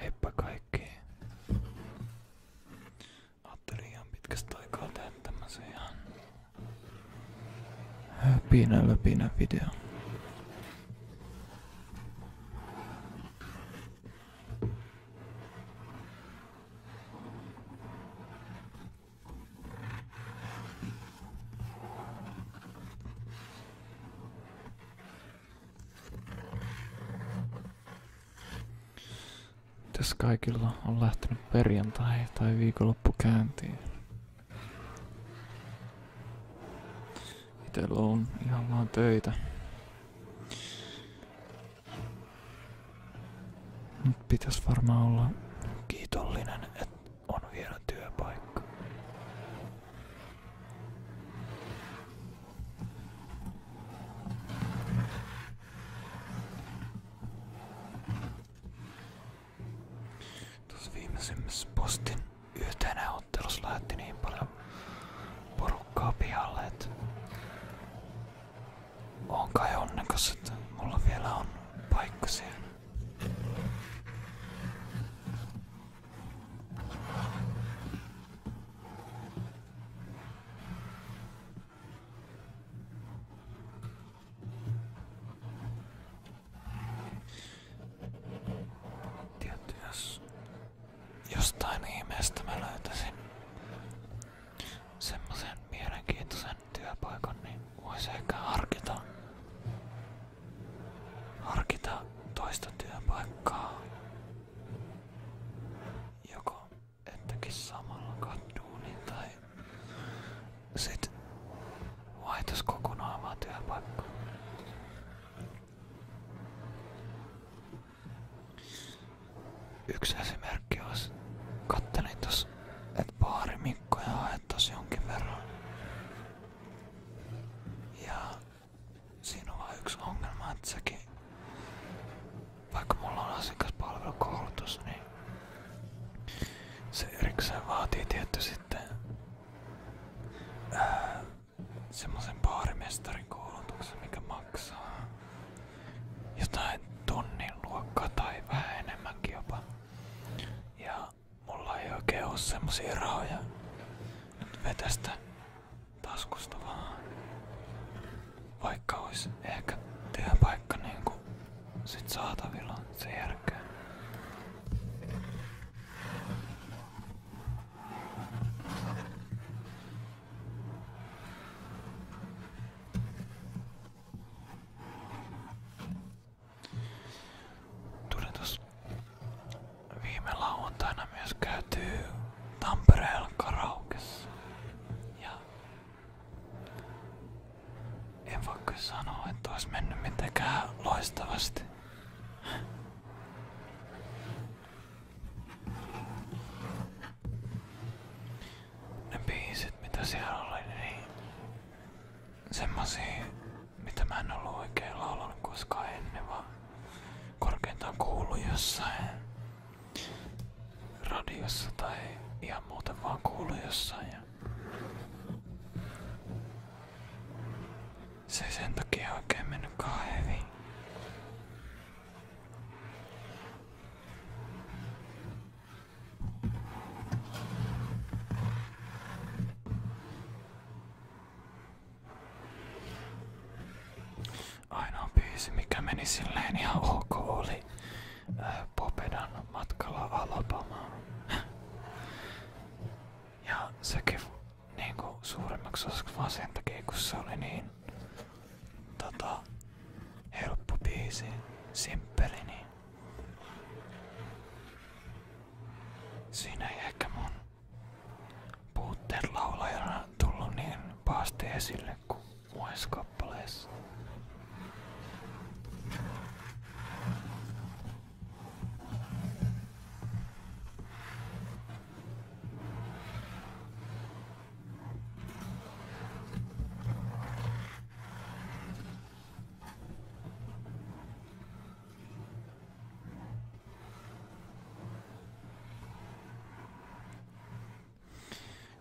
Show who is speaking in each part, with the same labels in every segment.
Speaker 1: Heippa kaikki. Ajattelin pitkästä aikaa tehdä tämmösen ihan video. Mitäs kaikilla on lähtenyt perjantai tai viikonloppu käyntiin? Itellä on ihan vaan töitä. Nyt pitäisi varmaan olla kiitollinen, että on hieno työpaikka. Tuossa viimeisimmässä postin yhtenä ottelussa lähetti niin paljon pihalle, on kai onnekas, että mulla vielä on paikka siellä. Tietty, jos jostain ihmeestä mä löytäisin semmoisen mielenkiintoisen työpaikan, niin voisi ehkä harkita harkita toista työpaikkaa joko ettekin samalla kaduunin tai sit vaihtas kokonaan vaan työpaikkaa. Yksi esimerkki olisi, kattelin tossa, että baari Mikkoja haettaisi jonkin verran ja siinä on vaan yksi ongelma, että sekin, vaikka mulla on asiakaspalvelukoulutus, niin se erikseen vaatii tietty sitten ää, semmoisen baarimestarin koulutuksen, mikä maksaa jotain tunnin luokkaa tai vähän enemmänkin jopa. Ja mulla ei oikein oo semmosia rahoja. Nyt vetästä taskusta vaan. Vaikka ois ehkä työpaikka niinku sit saatavilla sen jälkeen. Tuli tuossa viime lauantaina myös käytyy Tampereella karaukessa. Ja en voi kyllä sanoa, että olisi mennyt mitenkään loistavasti. Ne biisit, mitä siellä oli, niin semmosia, mitä mä en ollut oikein laulanut koskaan ennen, vaan korkeintaan kuulu jossain radiossa tai ihan muuten vaan kuulu jossain. Ja se ei sen takia oikein mennytkaan hyvin. Ainoa biisi, mikä meni silleen ihan ok, oli äh, Popedan matkalla Alabamaan. ja sekin niinku suurimmaksi osaksi vaan sen takia, kun se oli niin tota, simppeli, niin Siinä ei ehkä mun puutteet laulajana tullut niin pahasti esille kuin muissa kappaleissa.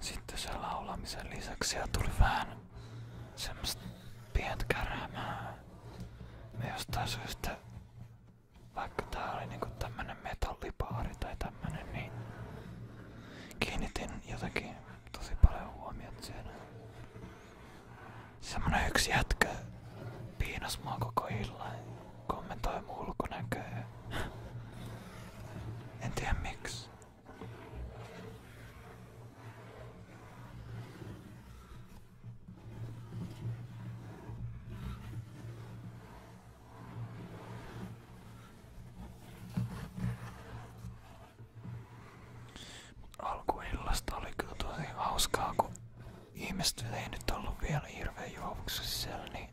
Speaker 1: Sitten se laulamisen lisäksi ja tuli vähän semmoista pientä kärämää. Me jostain syystä, vaikka tää oli niinku niin kiinnitin jotenkin tosi paljon huomiota siinä. Semmonen yksi jätkä piinas mua koko illan. Kommentoi mun ulkonäköä. En tiedä miksi. Mut alkuillasta oli kyllä tosi hauskaa, kun ihmiset ei nyt ollut vielä hirveen juovuksessa sisällä, niin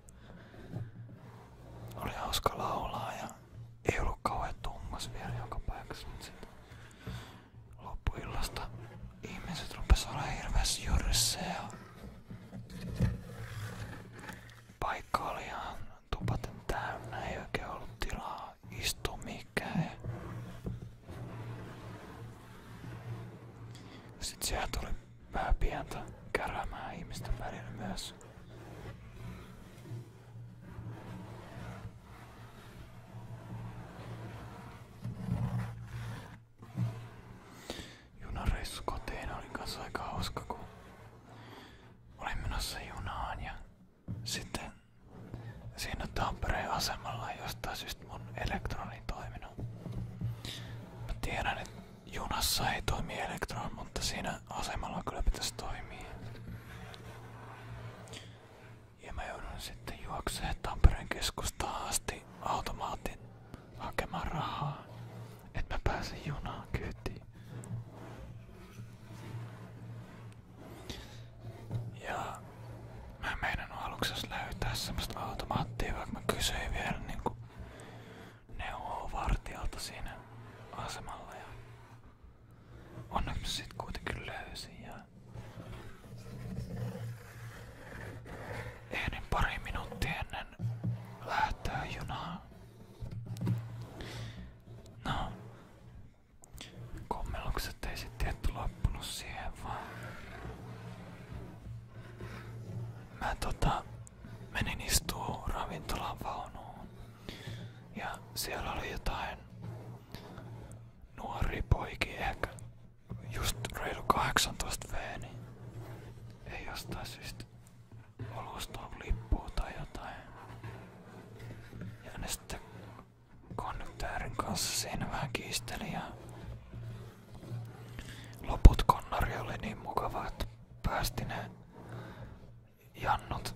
Speaker 1: oli hauska laulaa ja ei ollut kauhean tummas vielä joka paikassa, mutta sitten loppuillasta ihmiset rupes olemaan hirveässä jyrssä ja paikka oli ihan tupaten täynnä, ei oikein ollut tilaa istua mikään. Sitten siellä tuli vähän pientä kärämää ihmisten välillä myös. Junareissu kotiin oli kanssa sitten siinä Tampereen asemalla jostain syystä mun elektroni toiminut. Mä junassa ei toimi elektron, mutta asemalla kyllä pitäisi toimia. Ja mä joudun sitten juokseen Tampereen keskustaan automaatin hakemaan että mä pääsen junaan kyytiin. Ja mä meidän aluksessa löytää semmoista automaattia, vaikka niinku neuvoa vartijalta siinä asemalla. Ja onneksi mä kuitenkin löysin. Ja ehdin pari minuuttia No, kommellukset ei sitten tietty loppunut siihen vaan. Mä tota, menin istuu ravintolan vaunuun ja siellä oli jotain nuori poiki ehkä just reilu 18 V, niin ei jostain syystä Olostaa lippua tai jotain. Ja ne sitten konduktöörin kanssa siinä vähän kiisteli ja loput konnari oli niin mukava, että päästi ne jannut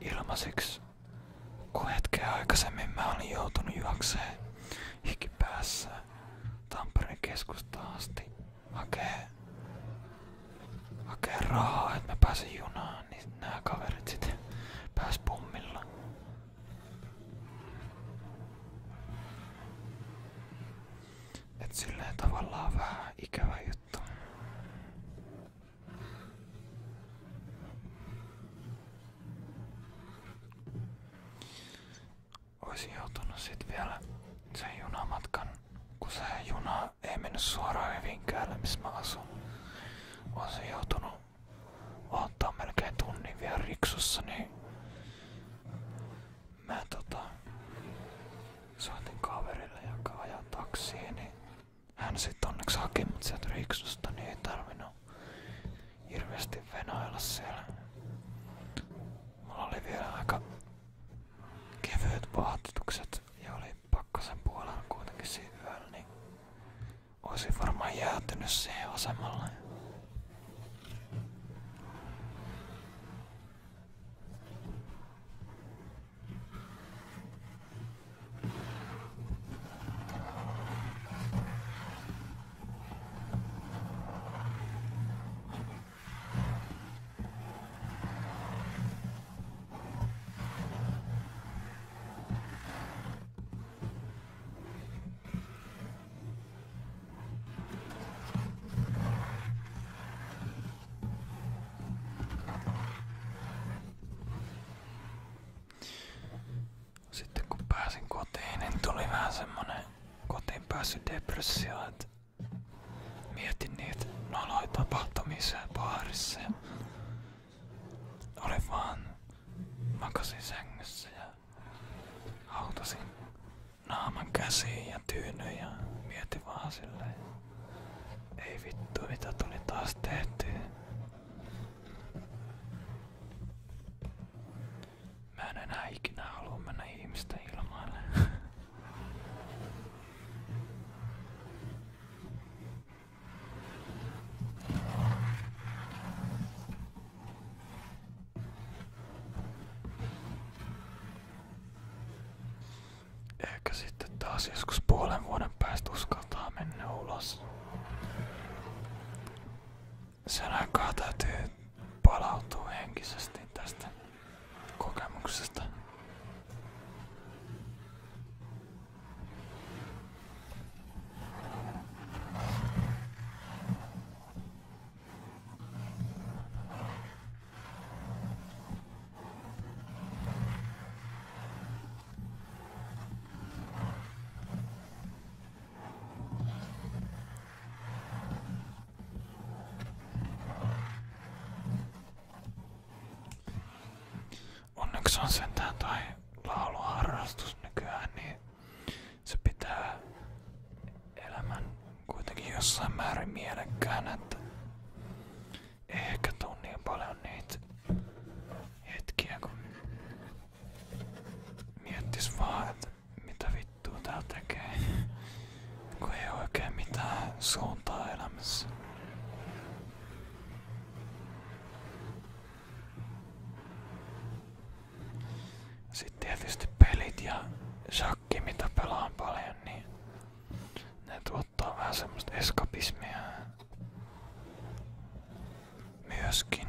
Speaker 1: ilmaisiksi, kun hetkeä aikaisemmin mä olin joutunut juokseen hiki päässä Tampereen keskustaan asti hakee, hakee rahaa, että mä pääsen junaan, niin nämä kaverit sitten pääs pummilla. Et silleen tavallaan vähän ikävä juttu. Oisin joutunut sit vielä sen junamatkan, kun se juna ei mennyt suoraan Hyvinkäälle, missä mä asun. Oon se joutunut ottaa melkein tunnin vielä riksussa, niin mä tota, soitin kaverille, joka ajaa taksia, niin hän sit onneksi haki mut sieltä riksusta, niin ei tarvinnut hirveästi venailla siellä. Mulla oli vielä aika kevyet pahatukset ja oli pakkasen puolella kuitenkin siinä yöllä, niin olisin varmaan jäätynyt siihen asemalle. Sitten kun pääsin kotiin, niin tuli vähän semmonen kotiin päässyt depressio, että Mietin niitä noloja tapahtumisia baarissa ja olin vaan makasin sängyssä ja hautasin naaman käsiin ja tyynyin ja mietin vaan silleen. Ei vittu mitä tuli taas tehtyä. Mä en enää ikinä halua mennä ihmisten ilmaan. Ehkä sitten taas joskus päästä uskaltaa ulos. Sen aikaa täytyy palautuu henkisesti tästä kokemuksesta. Onneksi on sentään tai lauluharrastus nykyään, niin se pitää elämän kuitenkin jossain määrin mielekkään, että ehkä tuu niin paljon niitä hetkiä, kun miettis vaan, että mitä vittua tää tekee. Kun ei oikein mitään suuntaa elämässä. Sitten tietysti pelit ja shakki, mitä pelaan paljon, niin ne tuottaa vähän semmoista eskapismia myöskin.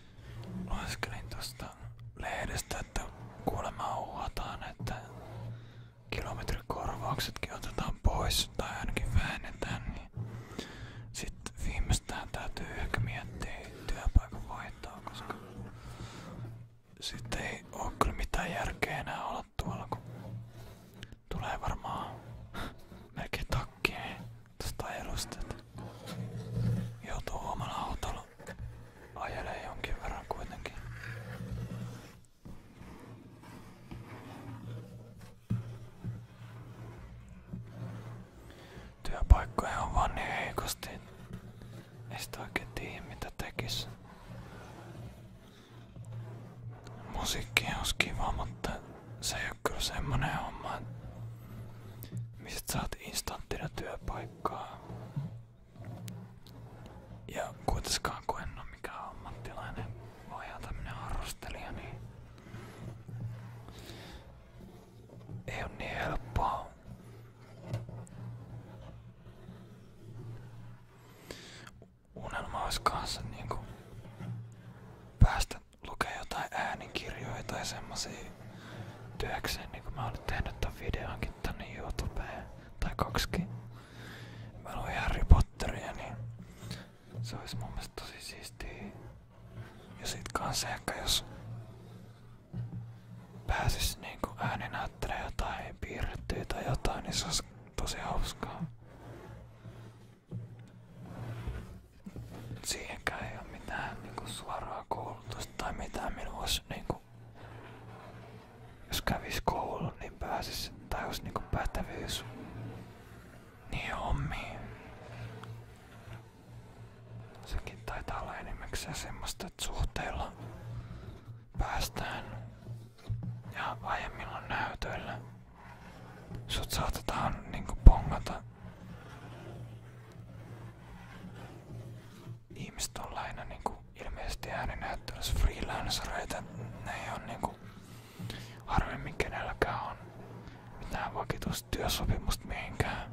Speaker 1: Laskelin tosta lehdestä, että kuulemma uhataan, että kilometrikorvauksetkin otetaan pois tai ainakin vähennetään, niin sitten viimeistään täytyy ehkä miettiä työpaikan vaihtoa, koska sitten ei oo kyllä mitään järkeä enää olla tuolla, kun tulee varmaan melkein Tosta edustet. Joutuu omalla autolla. Ajelee jonkin verran kuitenkin. Työpaikkoja on vaan niin heikosti. Ei sitä oikein tiedä mitä tekis. Musiikki on kiva, mutta se ei ole kyllä semmonen homma mistä saat instanttina työpaikkaa. Ja kuitenkaan kun en ole mikään ammattilainen, vaan ihan tämmönen harrastelija, niin ei ole niin helppoa. Unelma olisi kanssa niinku päästä lukea jotain äänikirjoja tai semmosia työkseen, niin kuin mä oon nyt tehnyt tämän videonkin tänne YouTubeen, tai kaksikin. Mä luin Harry Potteria, niin se olisi mun mielestä tosi siistiä. Ja sit kans ehkä jos pääsis niinku ääninäyttelemään jotain piirrettyä tai jotain, niin se olisi tosi hauskaa. Siihenkään ei ole mitään niinku suoraa koulutusta tai mitään minua niin jos kävis koulun, niin pääsis, tai jos niinku pätevyys niin hommiin. Sekin taitaa olla enimmäkseen semmoista, että suhteilla päästään ja aiemmilla näytöillä sut saatetaan niinku pongata ihmiset on lähinnä niinku ilmeisesti ääninäyttelyssä freelancereita. Ne ei on niinku harvemmin kenelläkään on mitään vakituista työsopimusta mihinkään.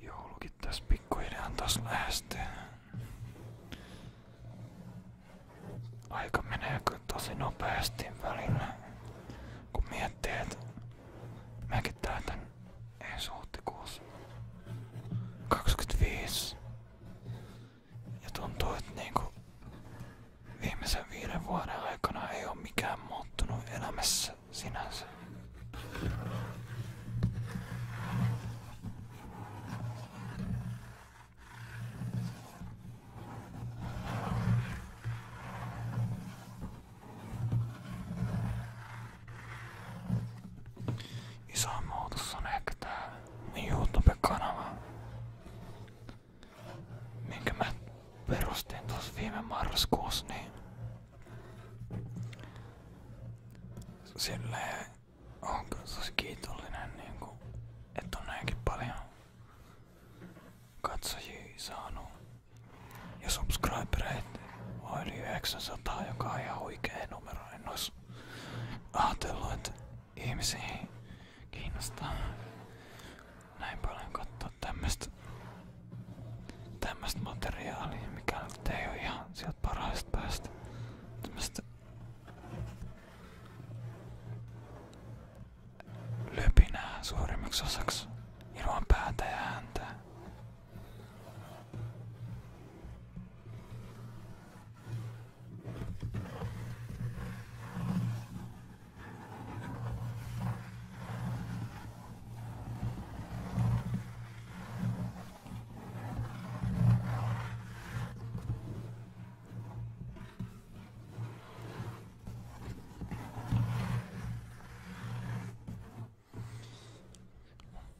Speaker 1: Joulukin tässä pikkuhiljaa taas lähestyy. Aika menee kyllä tosi nopeasti välillä, kun miettii, että mäkin täytän ensi huhtikuussa 25. Ja tuntuu, että niinku viimeisen viiden vuoden aikana ei ole mikään muuttunut elämässä sinänsä. Isoin muutos on ehkä tää mun YouTube-kanava, minkä mä perustin tuossa viime marraskuussa, niin Silleen on kyllä tosi kiitollinen, niin kuin, että on näinkin paljon katsojia saanut. Ja subscribereit on yli 900, joka on ihan huikea numero. En olisi ajatellut, että ihmisiä kiinnostaa näin paljon katsoa tämmöstä tämmöstä materiaalia, mikä nyt ei oo ihan sieltä parhaista päästä. Tämmöstä löpinää suurimmaksi osaksi ilman päätä ja ääntä.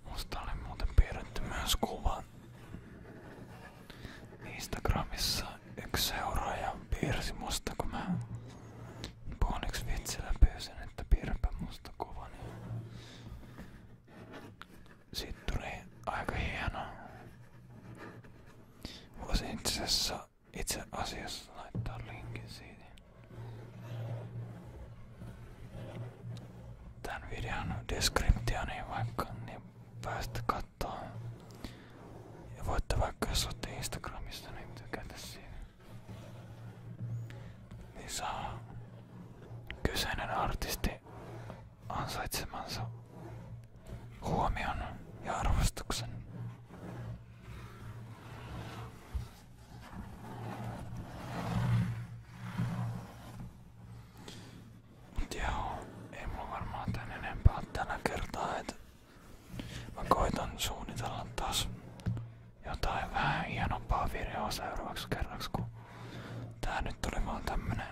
Speaker 1: Musta oli muuten piirretty Instagramissa yksi seuraaja musta, kun mä puoliksi että piirräpä musta kuvan. Siitä tuli aika hieno. Voisin itse asiassa, itse asiassa laittaa linkin siitä. Tän videon deskriptioniin vaikka, niin päästä kattoon. Ja voitte vaikka jos olette Instagramissa, niin tykätä siinä niin saa kyseinen artisti ansaitsemansa huomion ja arvostuksen. Mut ei mulla enempää tällä kertaa, et mä koitan suunnitella taas jotain vähän hienompaa videoa seuraavaksi kerraksi, kun tää nyt oli vaan tämmönen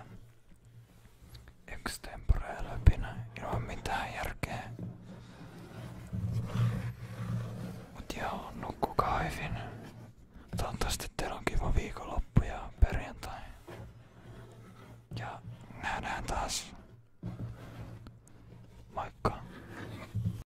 Speaker 1: extempore löpinä ilman mitään järkeä. Mut joo, nukkukaa hyvin. Toivottavasti teillä on kiva viikonloppu ja perjantai. Ja nähdään taas.